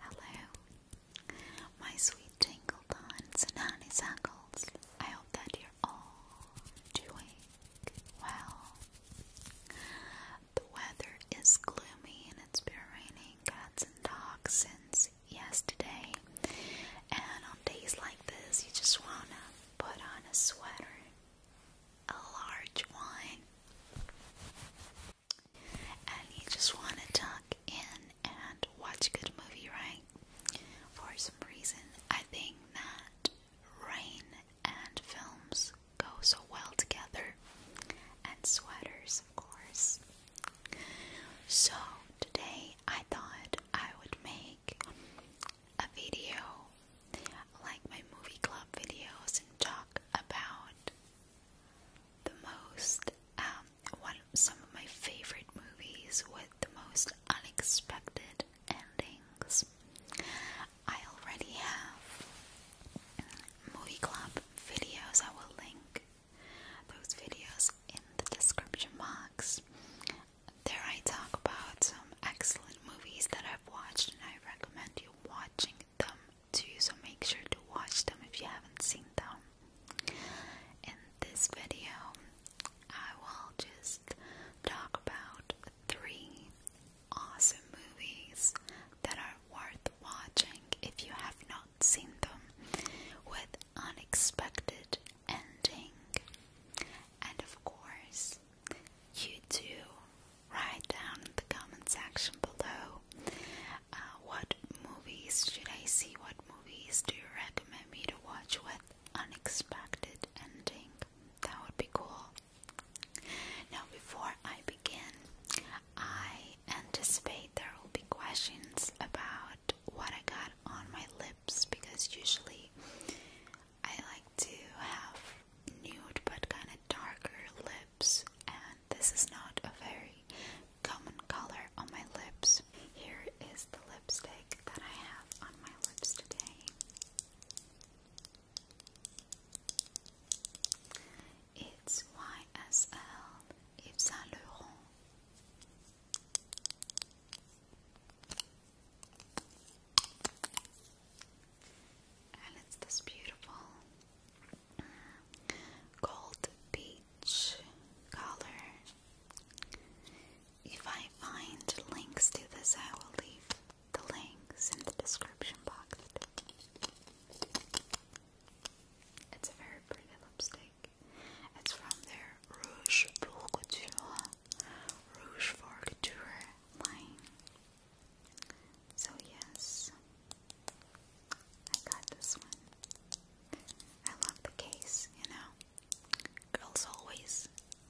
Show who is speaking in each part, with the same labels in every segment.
Speaker 1: Hello, my sweet tingle buns and honeysuckles. I hope that you're all doing well. The weather is gloomy and it's been raining cats and dogs since yesterday. And on days like this, you just wanna put on a sweater, a large one and you just want to tuck in and watch a good movie, right? For some reason, I think that rain and films go so well together, and sweaters, of course. So, today I thought I would make a video like my movie club videos and talk about the most one um, some of my favorite movies with the most unexpected endings. I already have movie club videos. I will link those videos in the description box. There I talk about some excellent movies that I've watched and I recommend you watching them too, so make sure to watch them if you haven't seen them. In this video, I will just talk about three awesome movies that are worth watching if you have not seen them with unexpected ending. And of course, you too write down in the comment section below uh, what movies should I see, what movies do you recommend me to watch with unexpected ending. That would be cool. Now before I begin, I anticipate there will be questions about what I got on my lips because usually I like to have nude but kind of darker lips, and this is not a very common color on my lips. Here is the lipstick that I have on my lips today. It's YSL It's Saint Laurent and it's this beautiful uh, gold peach color. If I find links to this, I will leave the links in the description box. It's a very pretty lipstick. It's from their Rouge pour Rouge for line. So, yes, I got this one. I love the case, you know. Girls always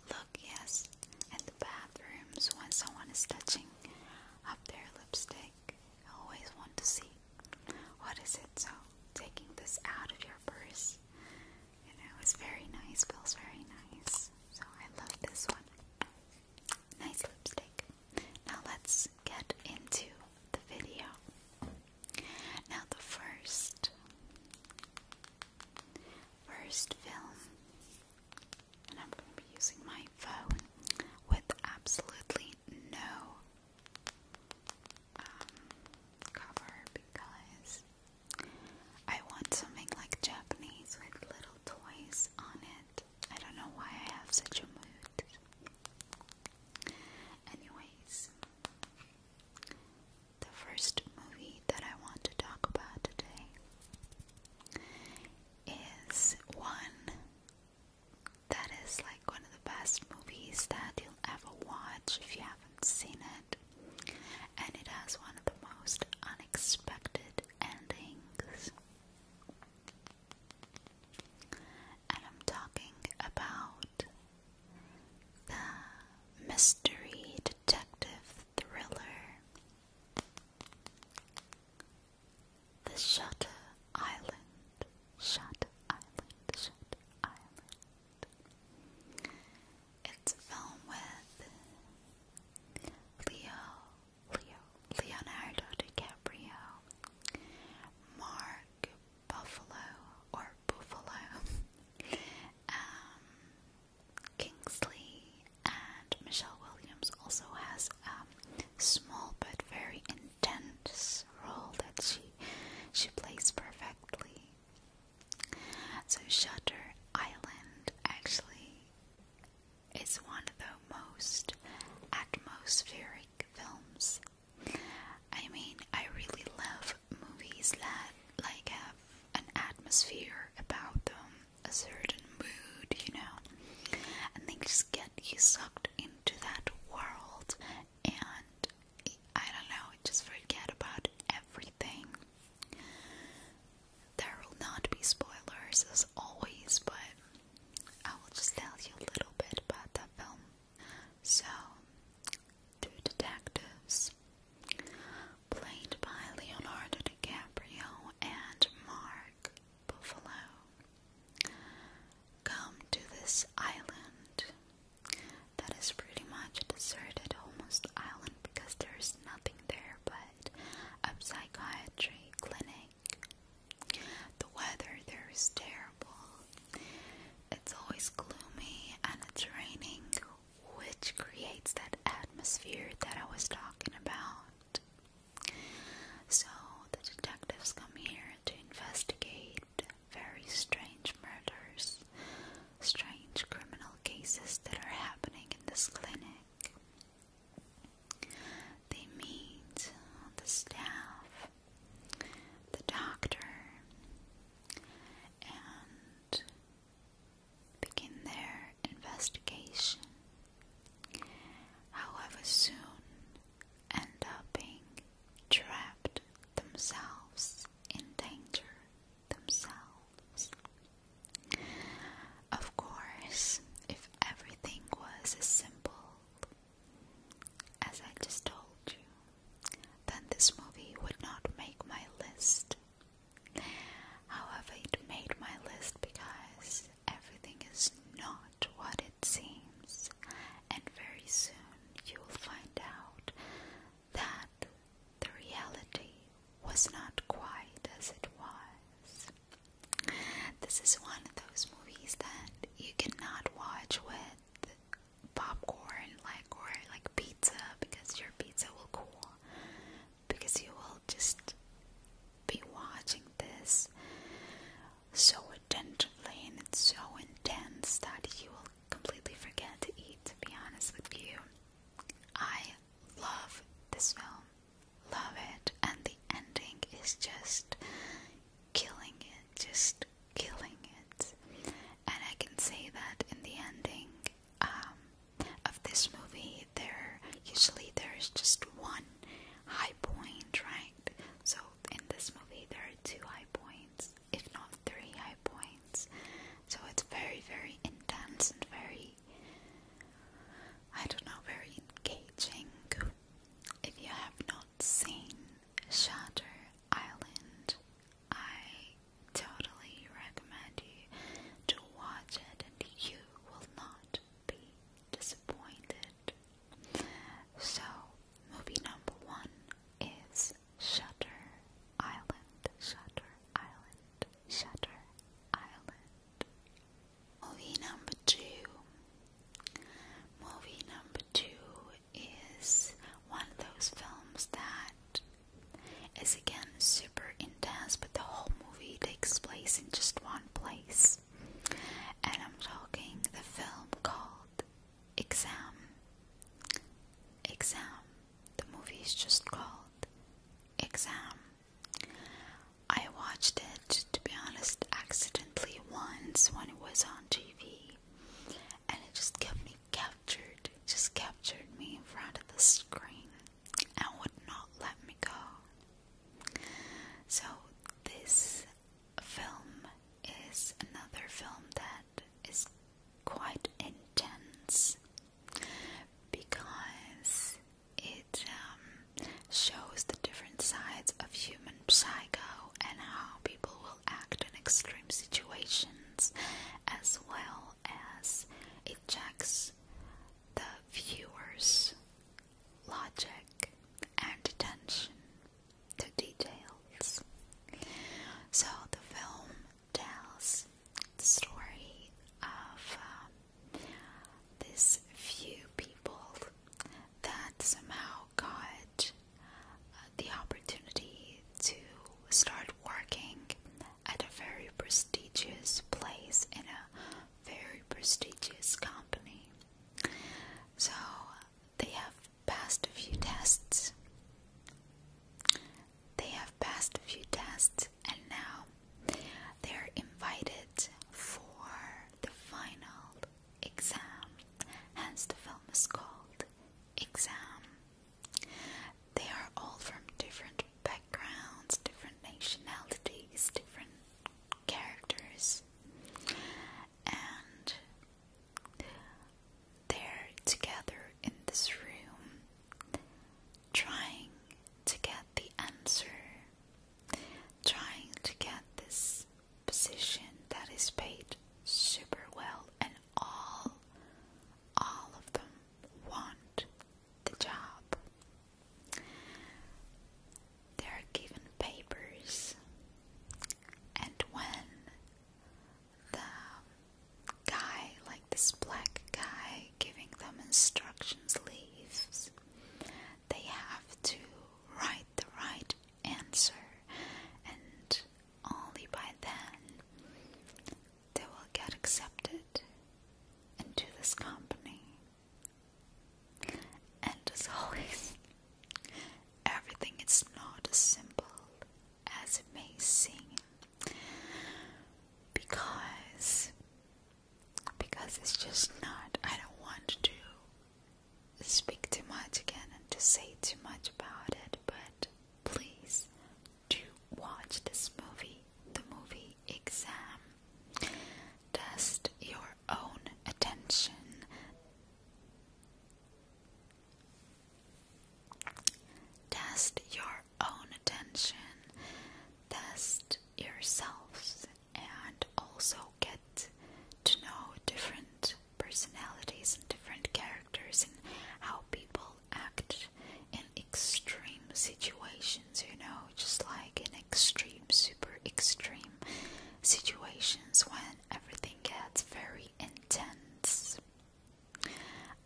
Speaker 1: look, yes, at the bathrooms when someone is touching up their lipstick. always want to see what is it. So, taking this out of your purse, you know, it's very nice, feels very nice. So, I love this one. Nice lipstick. Now let's get into the video. Now the first first film and I'm going to be using my phone with absolutely no um, cover because I want something like Japanese with little toys on it. I don't know why I have such a mood. Anyways, the first movie that I want to talk about today is one that is like one of the best movies that you'll ever watch if you haven't seen it. And it has one of the most unexpected endings. And I'm talking about the mystery detective thriller The Shutter Island. Shutter Island. Shutter Island. It's a film with Leo Leonardo DiCaprio, Mark Buffalo or Buffalo, um, Kingsley, and Michelle Williams also has a small but very intense role that she she plays perfectly. So Shutter Island actually it's one of the most atmospheric films. I mean, I really love movies that like have an atmosphere about them, a certain mood, you know, and they just get you sucked into that world, and I don't know, just forget about everything. There will not be spoilers as always, but I will just tell you a little bit about that film. So, two detectives, played by Leonardo DiCaprio and Mark Buffalo, come to this island that is pretty much deserted, almost island because there is nothing there but a psychiatry clinic. The weather there is terrible. It's always gloomy and it's raining, which creates that atmosphere that I was talking about. So the detectives come here to investigate very strange murders, strange criminal cases that are happening in this clinic. They meet the staff, the doctor, and begin their investigation. However, soon end up being trapped themselves in danger themselves. Of course, if everything was as simple as I just told you, then this movie would not make my list. However, it made my list because everything is not what it seems, and very soon you will find out that the reality was not quite as it was. This is one of those movies that you cannot watch with popcorn like or like pizza because your pizza will cool because you will just be watching this so attentively and it's so intense that you will completely forget to eat to be honest with you. I love this film love it, and the ending is just killing it, just killing it. And I can say that in the ending um, of this movie, there usually there is just one high point, right? So in this movie, there are two high points, if not three high points. So it's very, very intense and very I don't know, very engaging. If you have not seen Shutter Island, I totally recommend you to watch it, and you will not be disappointed. So, movie number one is Shutter Island, Shutter Island, Shutter Island. Movie number two. Movie number two is one of those films that is again super intense, but the whole movie takes place in just one place. And I'm talking the film called Exam. Exam. The movie is just called Exam. I watched it, to be honest, accidentally once when it was on TV, and it just kept me captured, just captured me in front of the screen and would not let me go. So, this film is another film that is quite intense because it um, shows the different sides of human psycho and how people will act in extreme situations, as well as it checks the viewer's logic and attention to details. So the film tells the story of um, this few people that somehow got uh, the opportunity to start working at a very prestigious place in a very prestigious company. So they have passed a few tests. They have passed a few tests and now they're invited for the final exam, hence the film is called Exam. They are all from different backgrounds, different nationalities, different characters, and they're together in this room trying to get the answer. Trying to get this position that is paid super well, and all, all of them want the job. They are given papers, and when the guy, like this black guy, giving them instructions leaves. They have to write the right answer, and only by then they will get accepted into this company. And as always, everything is not as simple as it may seem because because it's just not I don't want to speak too much again and to say too much about it but please do watch this movie the movie exam test your own attention Test your own attention, test yourselves, and also get to know different personalities and different characters and how people act in extreme situations, you know, just like in extreme, super extreme situations when everything gets very intense.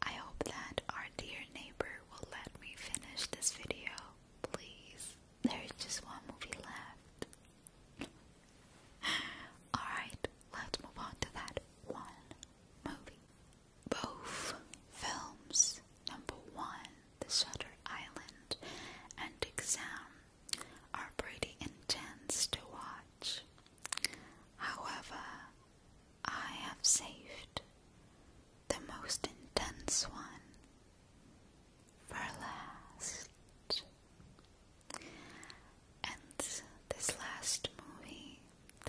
Speaker 1: I hope that our dear neighbor will let me finish this video, please. There is just one movie left. Alright, let's move on to that one movie. Both films, number one, The Shutter Island and Exam, are pretty intense to watch. However, I have saved the most intense one for last. And this last movie,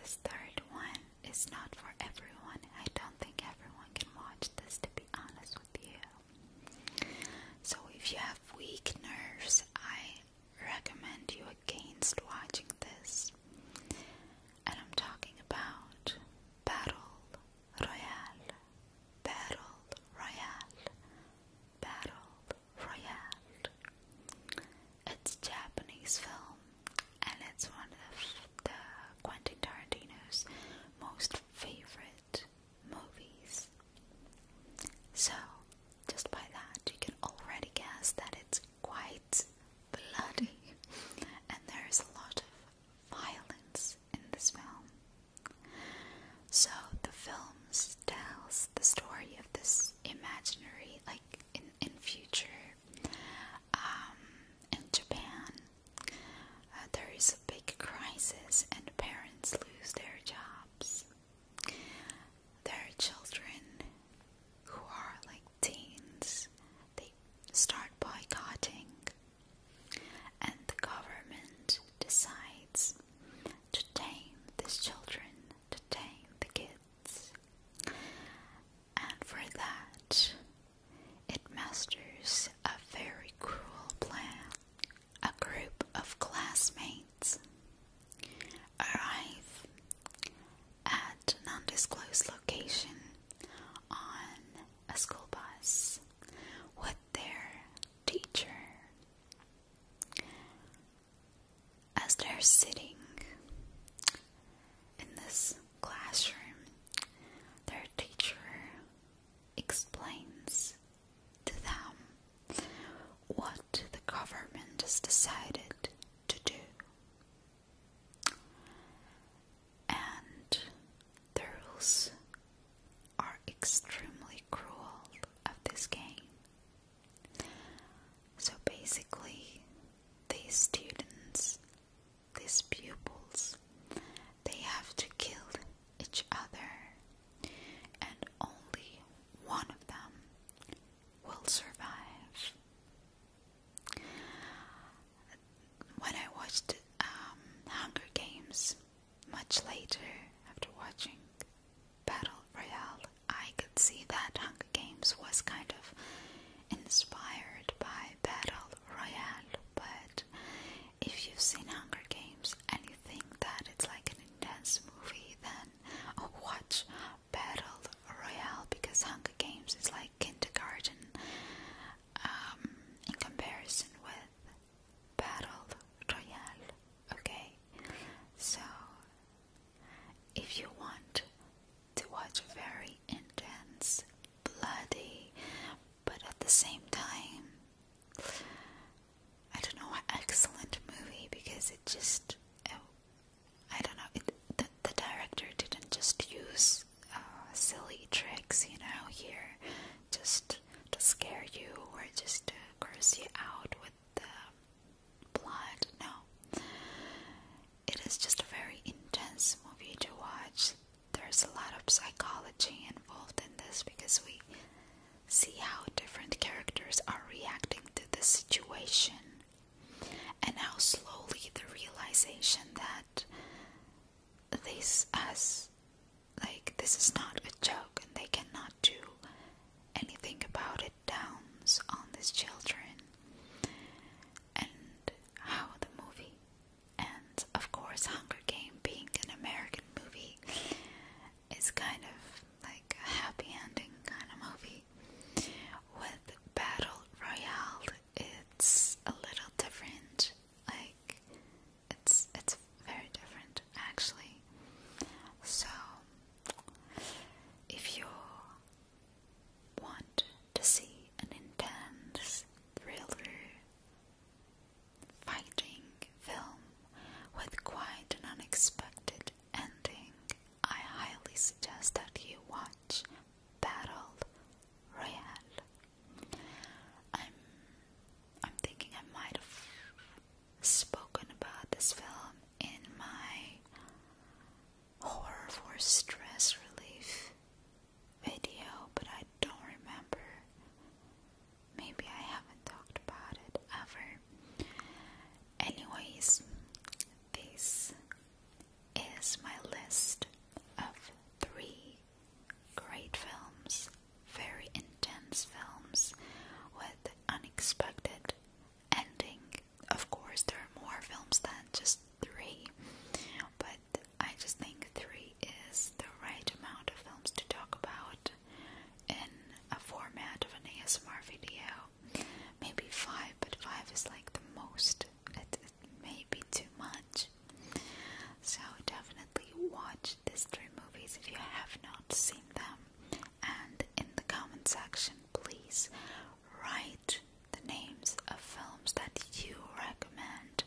Speaker 1: this third one, is not for everyone. I don't think everyone can watch this, to be honest with you. So, if you have weak nerves, I recommend you against watching this and I'm talking about Battle Royale, Battle Royale, Battle Royale. It's a Japanese film and it's one of the Quentin Tarantino's most favorite movies. So, just by that, you can already guess that it's quite bloody, and there is a lot of violence in this film. So the film tells the story of this imaginary, like in in future, um, in Japan, uh, there is a big crisis, and parents lose their jobs. Their children who are like teens, they start boycotting, and the government decides to tame these children, to tame the kids, and for that, it masters a very cruel plan. A group of classmates arrive at at an undisclosed location on a school bus with their teacher. As they're sitting in this classroom, their teacher explains to them what the government has decided to do. And the rules are extremely cruel of this game. So basically, these students, these pupils, they have to kill each other, and only one of them will survive. When I watched um, Hunger Games much later, after watching Battle Royale, I could see that Hunger Games was kind of inspired by Battle Royale. But if you've seen Hunger Games and you think that it's like an intense movie, then oh, watch battle royale because Hunger Games is like kindergarten um, in comparison with battle royale. Okay, so if you want to watch very intense, bloody, but at the same time, I don't know, excellent movie because it just I don't know. the, director didn't just use uh, silly tricks, you know, here, just to scare you or just to curse you out with the blood. No, it is just a very intense movie to watch. There's a lot of psychology involved in this because we see how different characters are reacting to the situation and how slowly the realization that this as like this is not a joke and they cannot do anything about it downs on these children and how the movie and of course Hunger Game being an American movie is kind of like a happy ending kind of movie with Battle Royale, it's a little different. Like it's it's very different actually. So if you want to see an intense thriller fighting film with quite an unexpected ending, I highly suggest that you watch Match Battle Royale. I'm I'm thinking I might have spoken about this film in my horror for stress relief video, but I don't remember. Maybe I haven't talked about it ever. Anyways, this is my list of three great films, very intense films with unexpected ending. Of course, there are more films than just three, but I just think three is the right amount of films to talk about in a format of an ASMR video maybe five, but five is like the most. It, may be too much. So definitely watch these three movies if you have not seen them. And in the comment section, please write the names of films that you recommend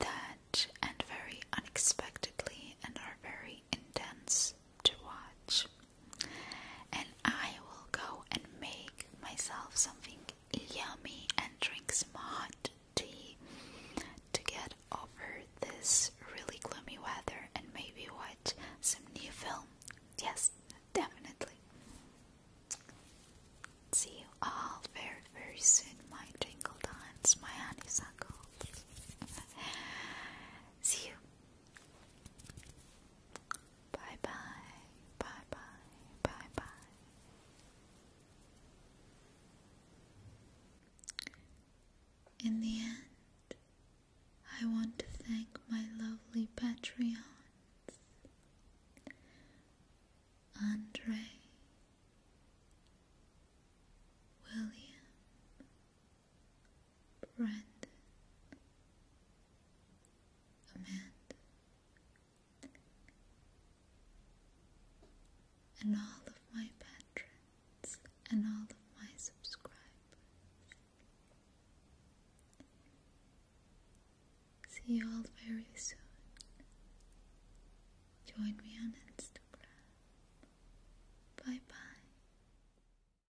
Speaker 1: that and very unexpectedly and are very intense to watch and I will go and make myself something yummy and drink some hot tea to get over this really gloomy weather and maybe watch some new film. Yes, definitely. See you all very, very soon, my tingle dance, my honeysuckle. See you. Bye bye, bye bye, bye bye. In the end, I want to thank my lovely Patreons Andre, William, Brandon, Amanda, and all of my patrons and all of my subscribers. See you all very soon. Join me on Instagram. Bye bye.